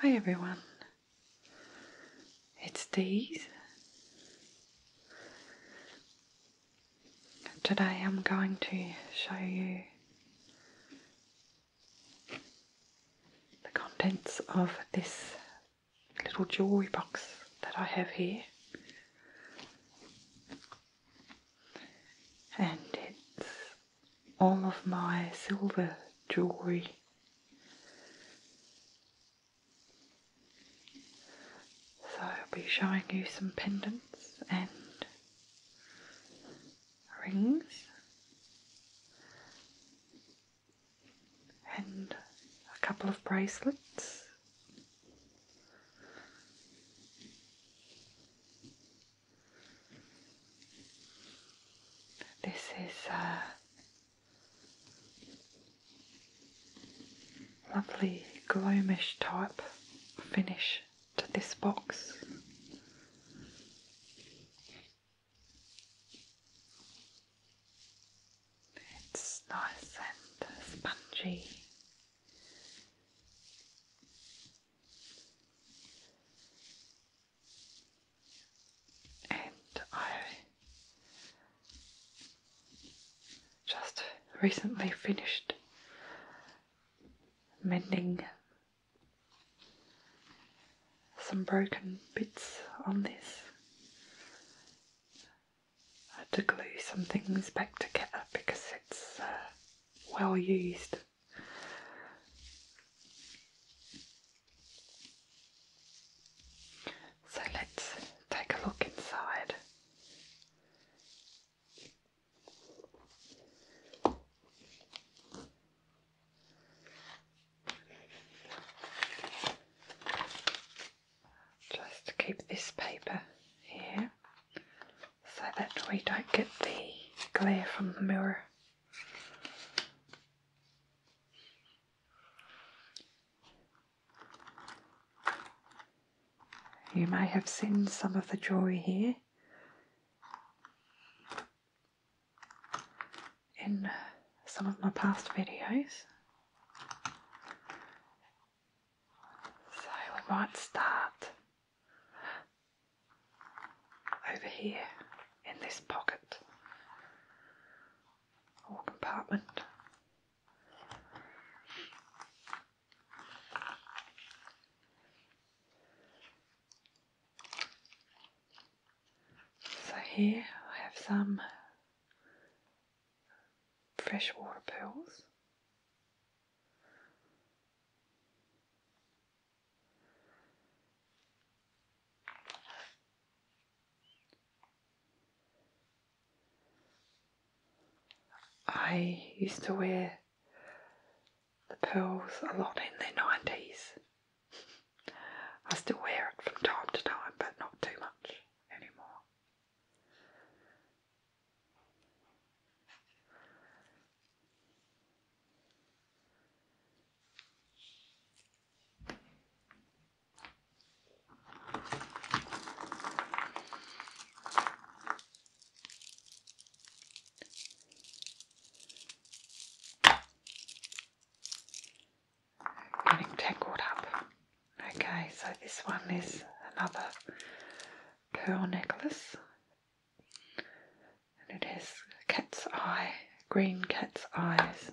Hi everyone, it's Days. Today I'm going to show you the contents of this little jewellery box that I have here and it's all of my silver jewelry. So I'll be showing you some pendants and rings and a couple of bracelets this is a uh, lovely gloomish type finish to this box. It's nice and spongy and I just recently finished mending some broken bits on this had to glue some things back together because it's uh, well used. So let's take a look inside just to keep this paper here so that we don't get the glare from the mirror. You may have seen some of the joy here in some of my past videos. So we might start over here in this pocket or compartment. So here I have some freshwater pearls. I used to wear the pearls a lot in the 90s. I still wear it from time to time, but not too much anymore. Getting tangled up. Okay, so this one is another pearl necklace, and it has cat's eye, green cat's eyes,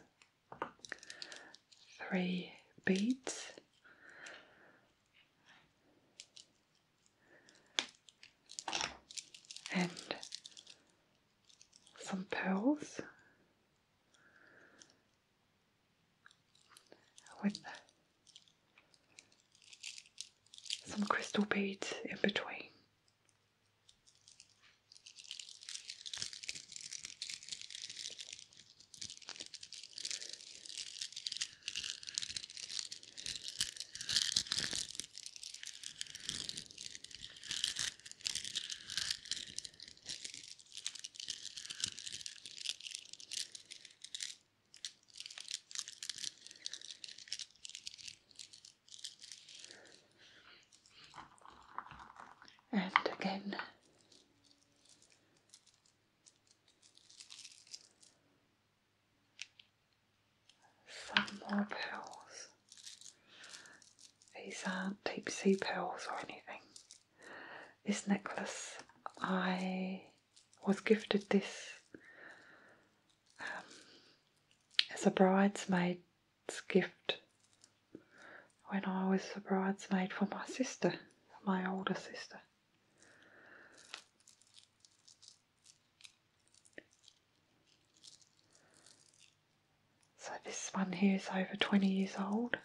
three beads. And some pearls, with some crystal beads in between and again. Some more pearls. These aren't deep sea pearls or anything. This necklace I was gifted this um, as a bridesmaid's gift when I was a bridesmaid for my sister, my older sister. So this one here is over 20 years old.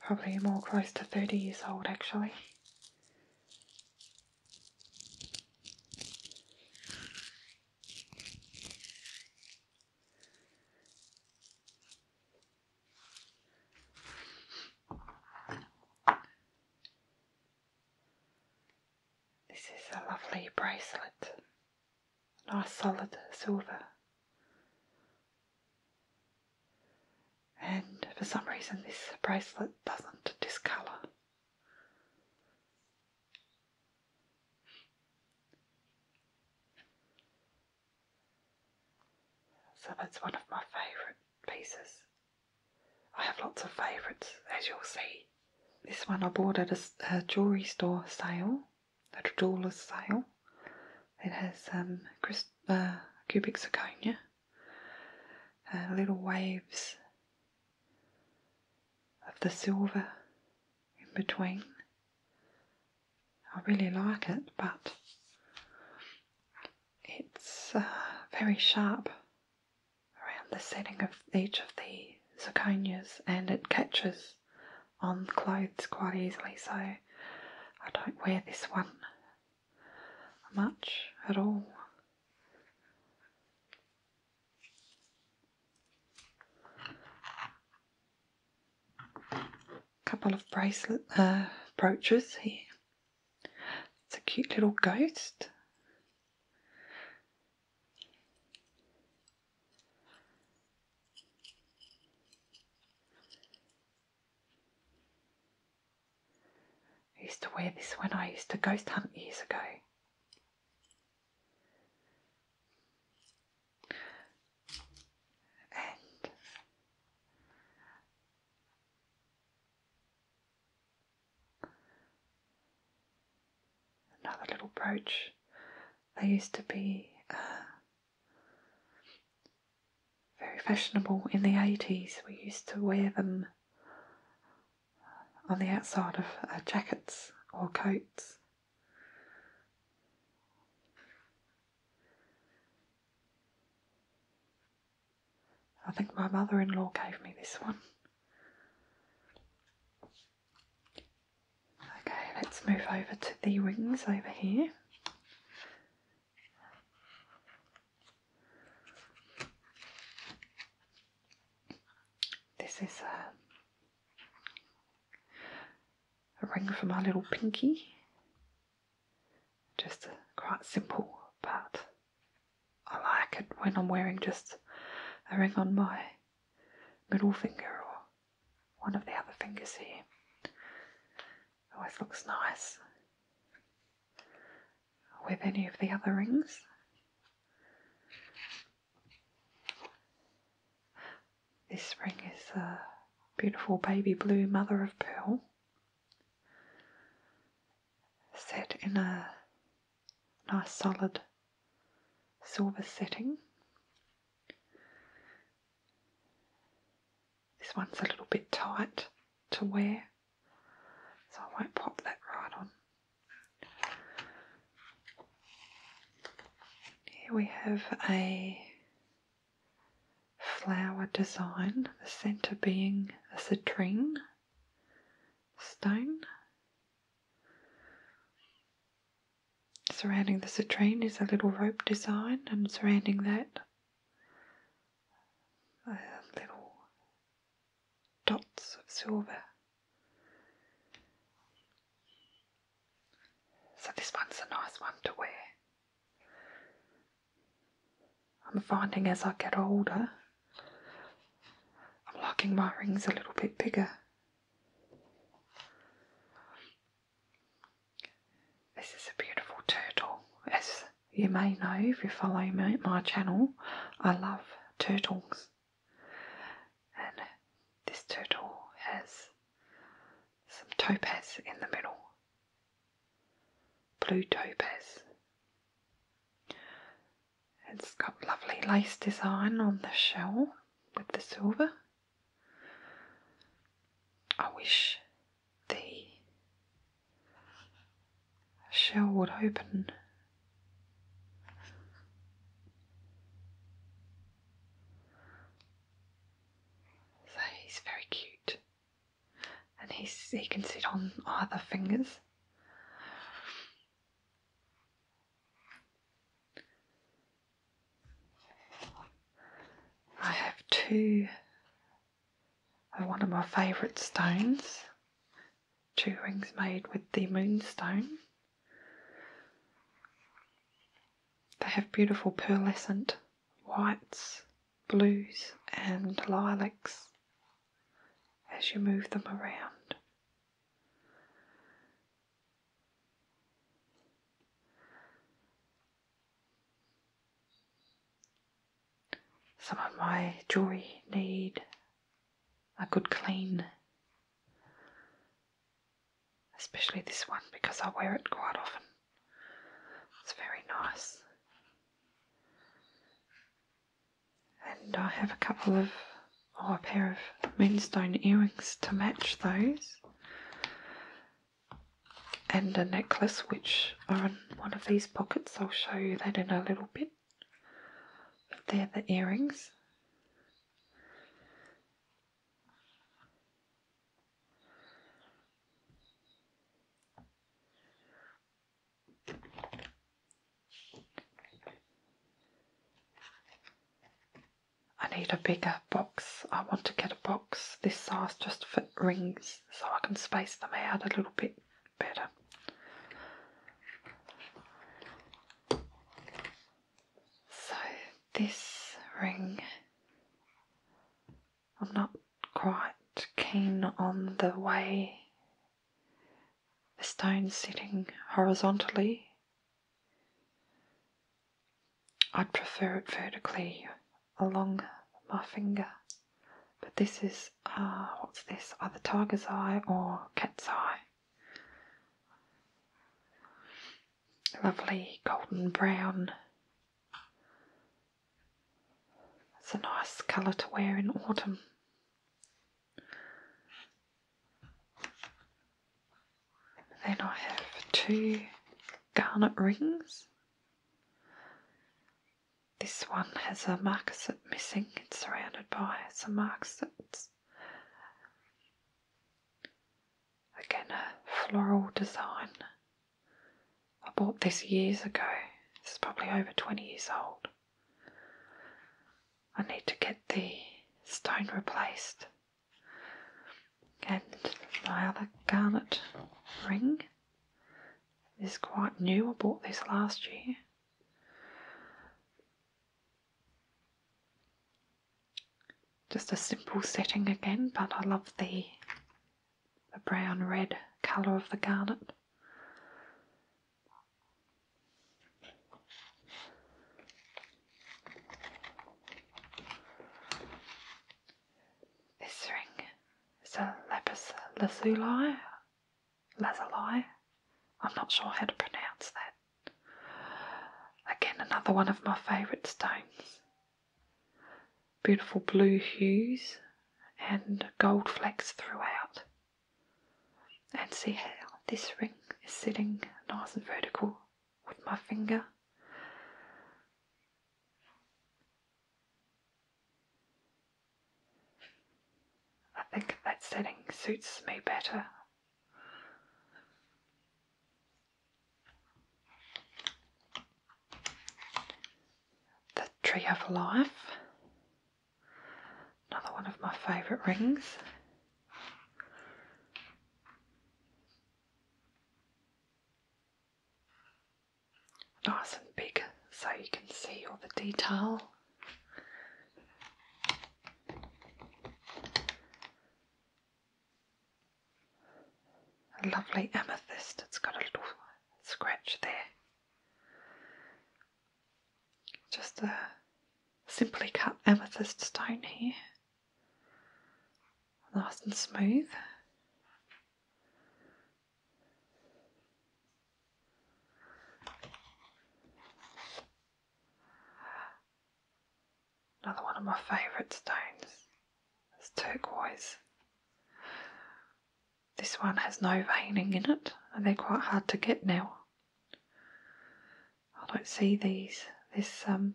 Probably more close to 30 years old actually. This is a lovely bracelet nice solid silver. And for some reason, this bracelet doesn't discolour. So that's one of my favourite pieces. I have lots of favourites, as you'll see. This one I bought at a, jewelry store sale, at a jeweler's sale. It has um, uh, cubic zirconia, uh, little waves of the silver in between. I really like it, but it's uh, very sharp around the setting of each of the zirconias and it catches on clothes quite easily, so I don't wear this one much at all. A couple of bracelet uh, brooches here. It's a cute little ghost. I used to wear this when I used to ghost hunt years ago. And Another little brooch. They used to be uh, very fashionable in the 80s. We used to wear them uh, on the outside of uh, jackets or coats. I think my mother in law gave me this one. Okay, let's move over to the wings over here. This is uh, a, ring for my little pinky. Just quite simple, but I like it when I'm wearing just a ring on my middle finger or one of the other fingers here. always looks nice with any of the other rings. This ring is a beautiful baby blue mother of pearl set in a nice solid silver setting. This one's a little bit tight to wear, so I won't pop that right on. Here we have a flower design, the centre being a citrine stone Surrounding the citrine is a little rope design, and surrounding that, uh, little dots of silver. So, this one's a nice one to wear. I'm finding as I get older I'm liking my rings a little bit bigger. This is a beautiful turtle. As you may know if you follow me, my channel, I love turtles. And this turtle has some topaz in the middle. Blue topaz. It's got lovely lace design on the shell with the silver. I wish the shell would open. So he's very cute, and he's he can sit on either fingers. I have two of one of my favourite stones, two rings made with the moonstone. They have beautiful pearlescent whites, blues, and lilacs as you move them around. Some of my jewelry need a good clean, especially this one because I wear it quite often. It's very nice. And I have a couple of, or oh, a pair of moonstone earrings to match those. And a necklace, which are in one of these pockets. I'll show you that in a little bit. But they're the earrings. I need a bigger box. I want to get a box this size just for rings so I can space them out a little bit better. So, this ring, I'm not quite keen on the way the stone sitting horizontally. I'd prefer it vertically along my finger, but this is, ah, what's this, either tiger's eye or cat's eye. Lovely golden brown. It's a nice colour to wear in autumn. Then I have two garnet rings. This one has a marquisate missing, it's surrounded by some marquisites. Again, a floral design. I bought this years ago. This is probably over 20 years old. I need to get the stone replaced and my other garnet ring is quite new. I bought this last year. Just a simple setting again, but I love the the brown red colour of the garnet. This ring is a lapis lazuli. Lazuli. I'm not sure how to pronounce that. Again, another one of my favourite stones. Beautiful blue hues and gold flecks throughout. And see how this ring is sitting nice and vertical with my finger. I think that setting suits me better. The Tree of Life Another one of my favourite rings. Nice and big so you can see all the detail. lovely amethyst, it's got a little scratch there. Just a simply cut amethyst stone here, nice and smooth. Another one of my favourite stones is turquoise. This one has no veining in it, and they're quite hard to get now. I don't see these this um,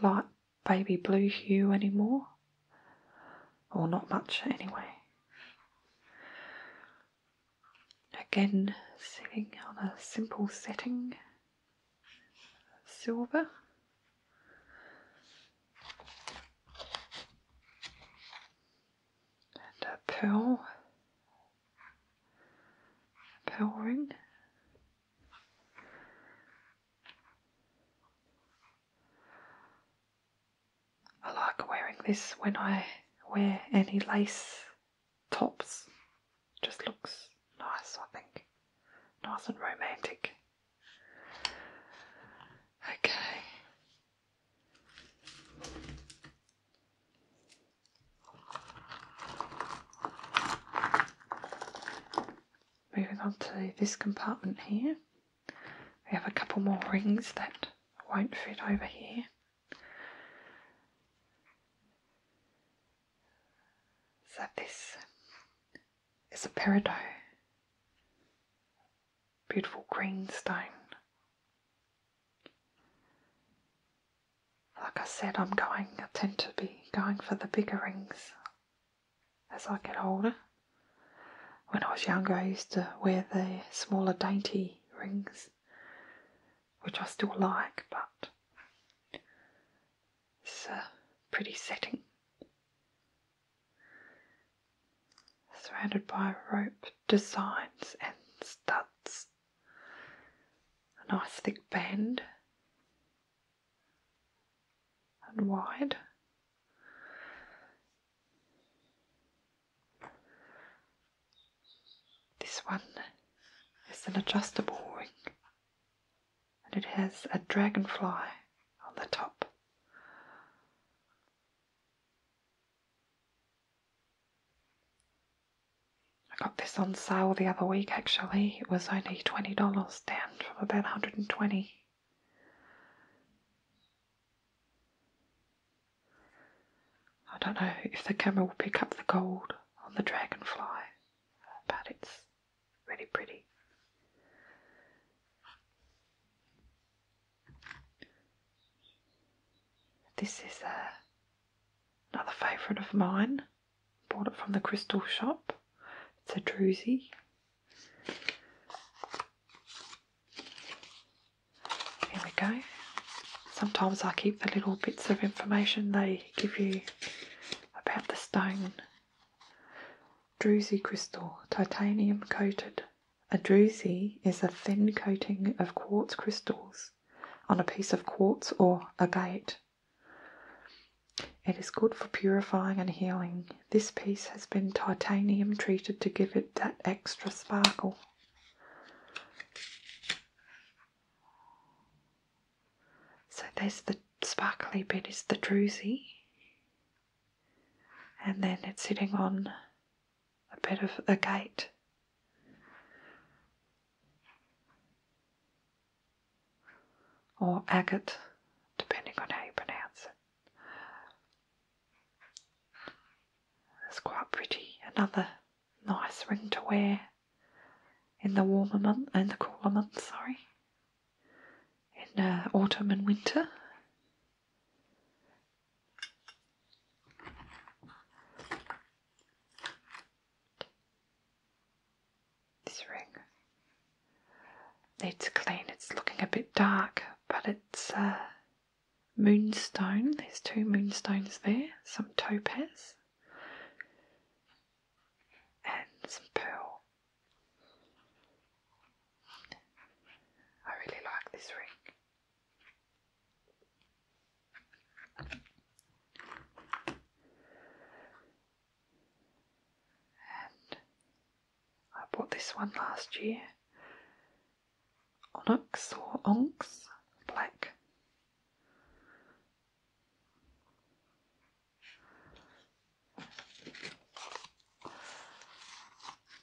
light baby blue hue anymore, or not much anyway. Again, sitting on a simple setting, silver and a pearl, pearl ring. I like wearing this when I wear any lace tops. just looks nice, I think. Nice and romantic. Okay, Moving on to this compartment here, we have a couple more rings that won't fit over here. So this is a peridot, beautiful green stone. Like I said, I'm going, I tend to be going for the bigger rings as I get older. When I was younger, I used to wear the smaller, dainty rings, which I still like, but it's a pretty setting surrounded by rope designs and studs, a nice thick band and wide. This one is an adjustable ring and it has a dragonfly on the top. I got this on sale the other week actually. It was only $20 down from about 120 I don't know if the camera will pick up the gold on the dragonfly, but it's really pretty. This is uh, another favourite of mine. Bought it from the crystal shop. It's a druzy. Here we go. Sometimes I keep the little bits of information they give you about the stone. Druzy crystal, titanium coated, a drusie is a thin coating of quartz crystals on a piece of quartz or agate. It is good for purifying and healing. This piece has been titanium treated to give it that extra sparkle. So there's the sparkly bit is the drusie. And then it's sitting on a bit of a gate. Or agate, depending on how you pronounce it. It's quite pretty, another nice ring to wear in the warmer month in the cooler months, sorry. In uh, autumn and winter. This ring needs clean. It's looking a bit dark, but it's uh, moonstone. There's two moonstones there, some topaz and some pearl. I really like this ring. I bought this one last year. Onyx or Onx Black.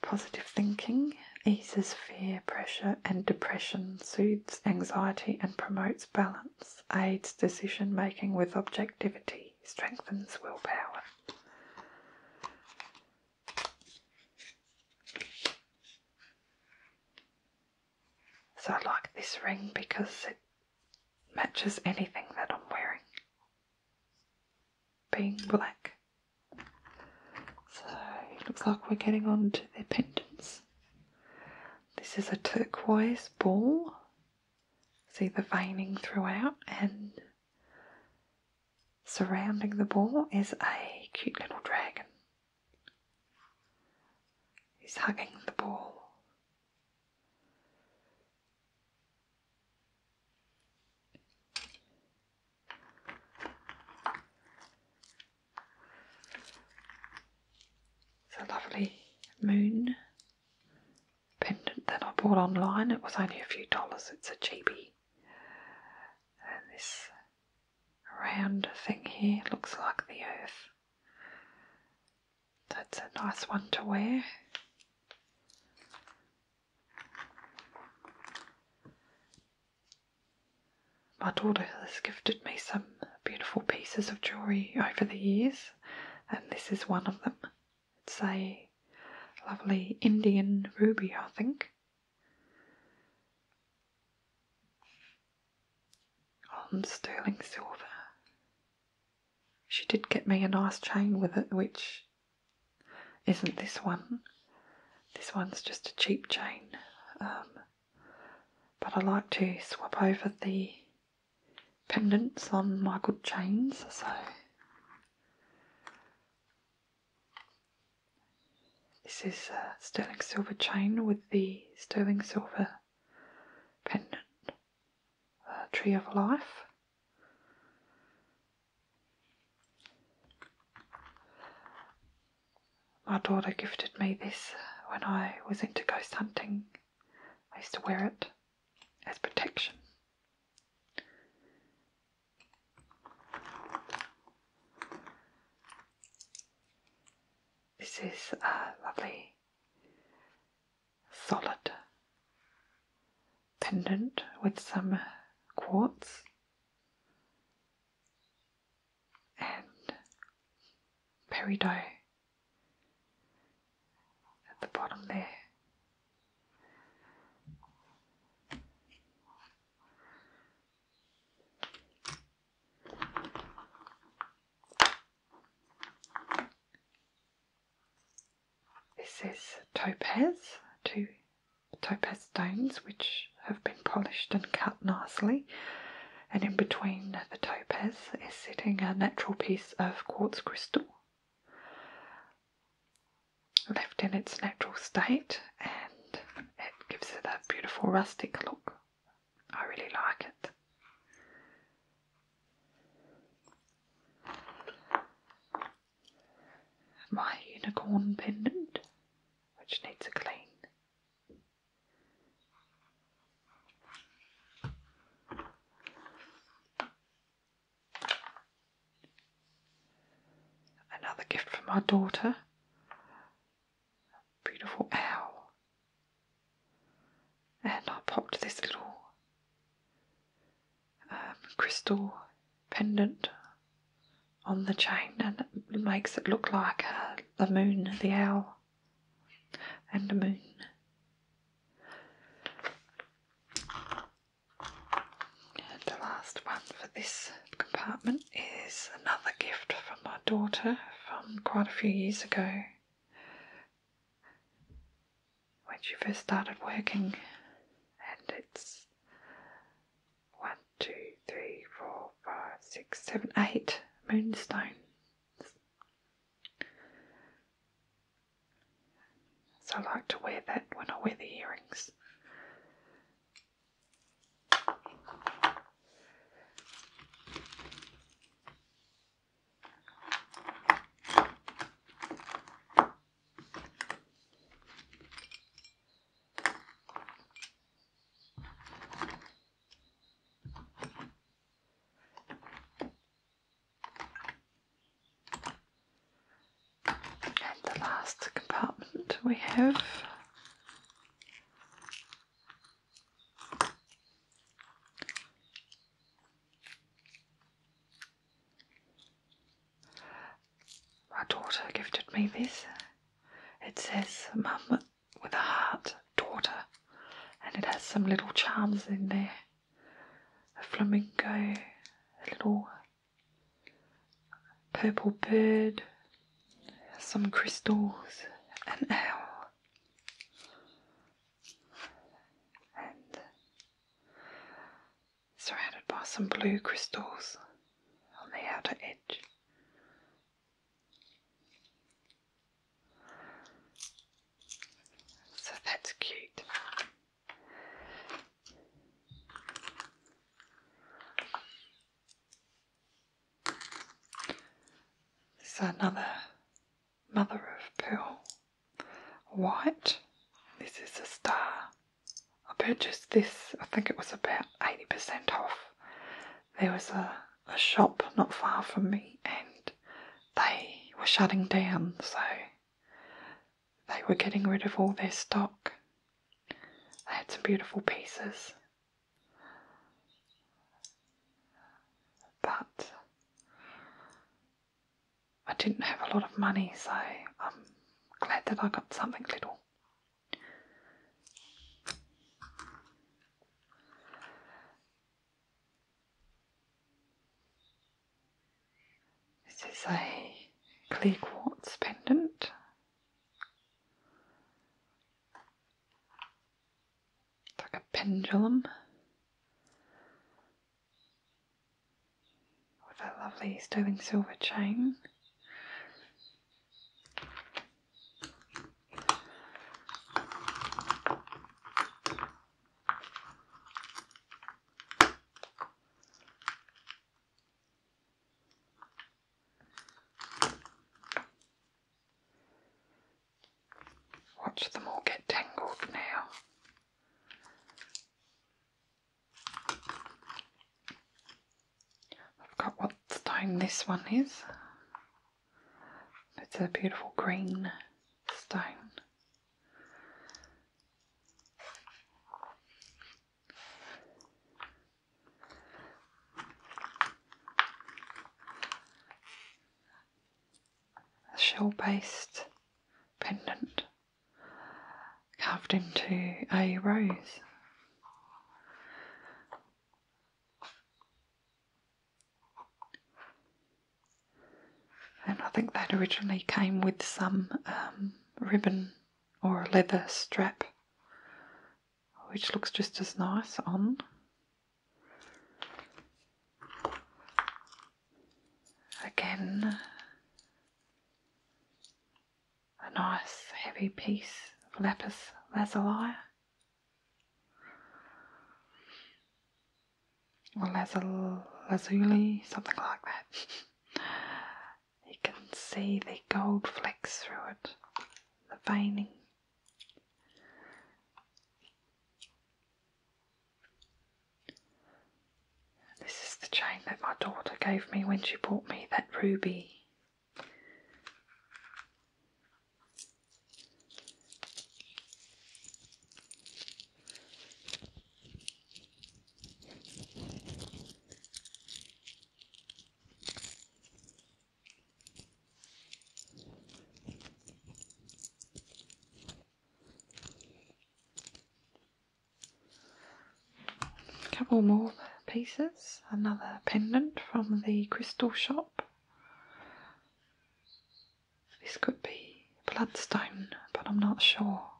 Positive thinking eases fear, pressure, and depression, soothes anxiety and promotes balance, aids decision making with objectivity, strengthens willpower. So I like this ring because it matches anything that I'm wearing. Being black so it looks like we're getting on to their pendants. This is a turquoise ball. See the veining throughout, and surrounding the ball is a cute little dragon. He's hugging the ball. It's a lovely moon pendant that I bought online. It was only a few dollars, it's a cheapie. And this round thing here looks like the earth. That's a nice one to wear. My daughter has gifted me some beautiful pieces of jewellery over the years, and this is one of them. It's a lovely Indian ruby, I think. On sterling silver. She did get me a nice chain with it, which isn't this one. This one's just a cheap chain, um, but I like to swap over the pendants on my good chains, so this is a sterling silver chain with the sterling silver pendant, uh, Tree of Life. My daughter gifted me this when I was into ghost hunting. I used to wear it as protection. This is a lovely solid pendant with some quartz and peridot at the bottom there. This is topaz, too topaz stones which have been polished and cut nicely. And in between the topaz is sitting a natural piece of quartz crystal, left in its natural state, and it gives it that beautiful rustic look. I really like it my unicorn pendant, which needs a clean. Another gift from my daughter. beautiful owl. And I popped this little um, crystal pendant on the chain, and it makes it look like uh, the moon, the owl, and the moon. And the last one for this compartment is another gift from my daughter from quite a few years ago when she first started working, and it's is 1, 2, 3, 4, 5, 6, 7, 8 moonstones. So I like to wear that when I wear the earrings. And the last compartment we have my daughter gifted me this. It says Mum with a heart, daughter, and it has some little charms in there a flamingo, a little purple bird, some crystals, an owl, and surrounded by some blue crystals on the outer edge. So that's cute. This is another mother of pearl white. This is a star I purchased this, I think it was about 80% off. There was a, shop not far from me and they were shutting down, so they were getting rid of all their stock. They had some beautiful pieces. But I didn't have a lot of money, so I'm glad that I got something little. This is a clear quartz pendant. It's like a pendulum with that lovely sterling silver chain. Watch them all get tangled now. I forgot what stone this one is. It's a beautiful green stone. A shell based pendant carved into a rose. And I think that originally came with some um, ribbon or leather strap, which looks just as nice on. Again, a nice heavy piece of lapis lazuli or lazuli, something like that. you can see the gold flecks through it, the veining. This is the chain that my daughter gave me when she bought me that ruby. A couple more pieces, another pendant from the crystal shop. This could be bloodstone, but I'm not sure.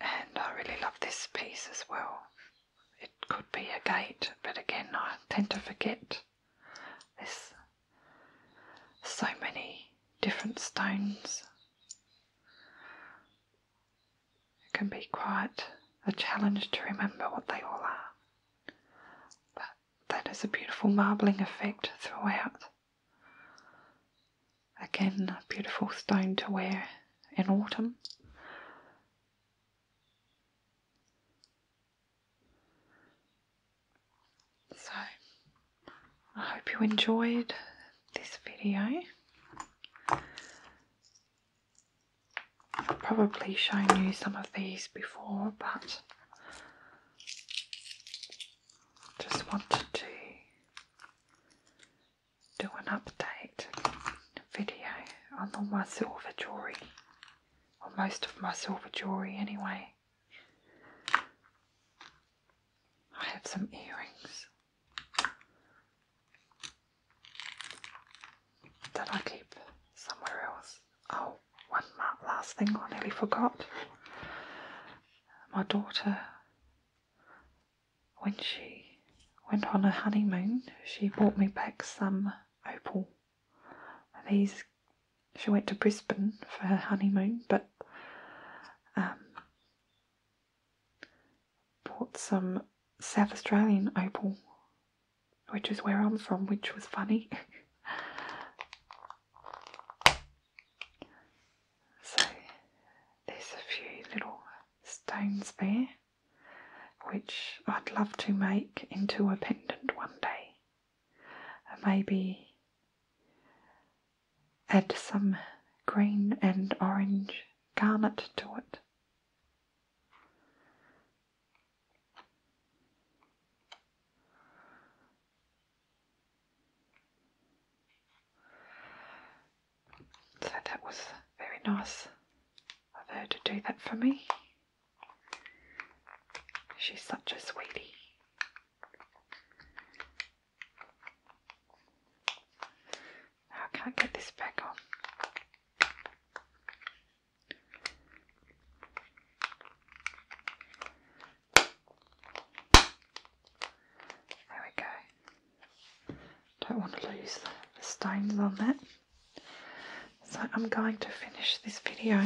And I really love this piece as well it could be a gate, but again, I tend to forget. There's so many different stones. It can be quite a challenge to remember what they all are. But that is a beautiful marbling effect throughout. Again, a beautiful stone to wear in autumn. So, I hope you enjoyed this video. I've probably shown you some of these before, but just wanted to do an update video on all my silver jewellery, or most of my silver jewellery anyway. I have some earrings that I keep somewhere else. Oh, one last thing I nearly forgot. My daughter when she went on her honeymoon, she brought me back some opal. These, she went to Brisbane for her honeymoon, but um, bought some South Australian opal, which is where I'm from, which was funny. so there's a few little stones there which I'd love to make into a pendant one day. And maybe add some green and orange garnet to it. So that was very nice of her to do that for me. She's such a sweetie. I can't get this back on. There we go. Don't want to lose the, the stains on that. So I'm going to finish this video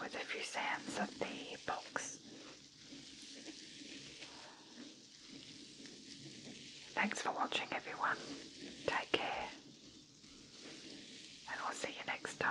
with a few sands of the box. Thanks for watching everyone. Take care and we'll see you next time.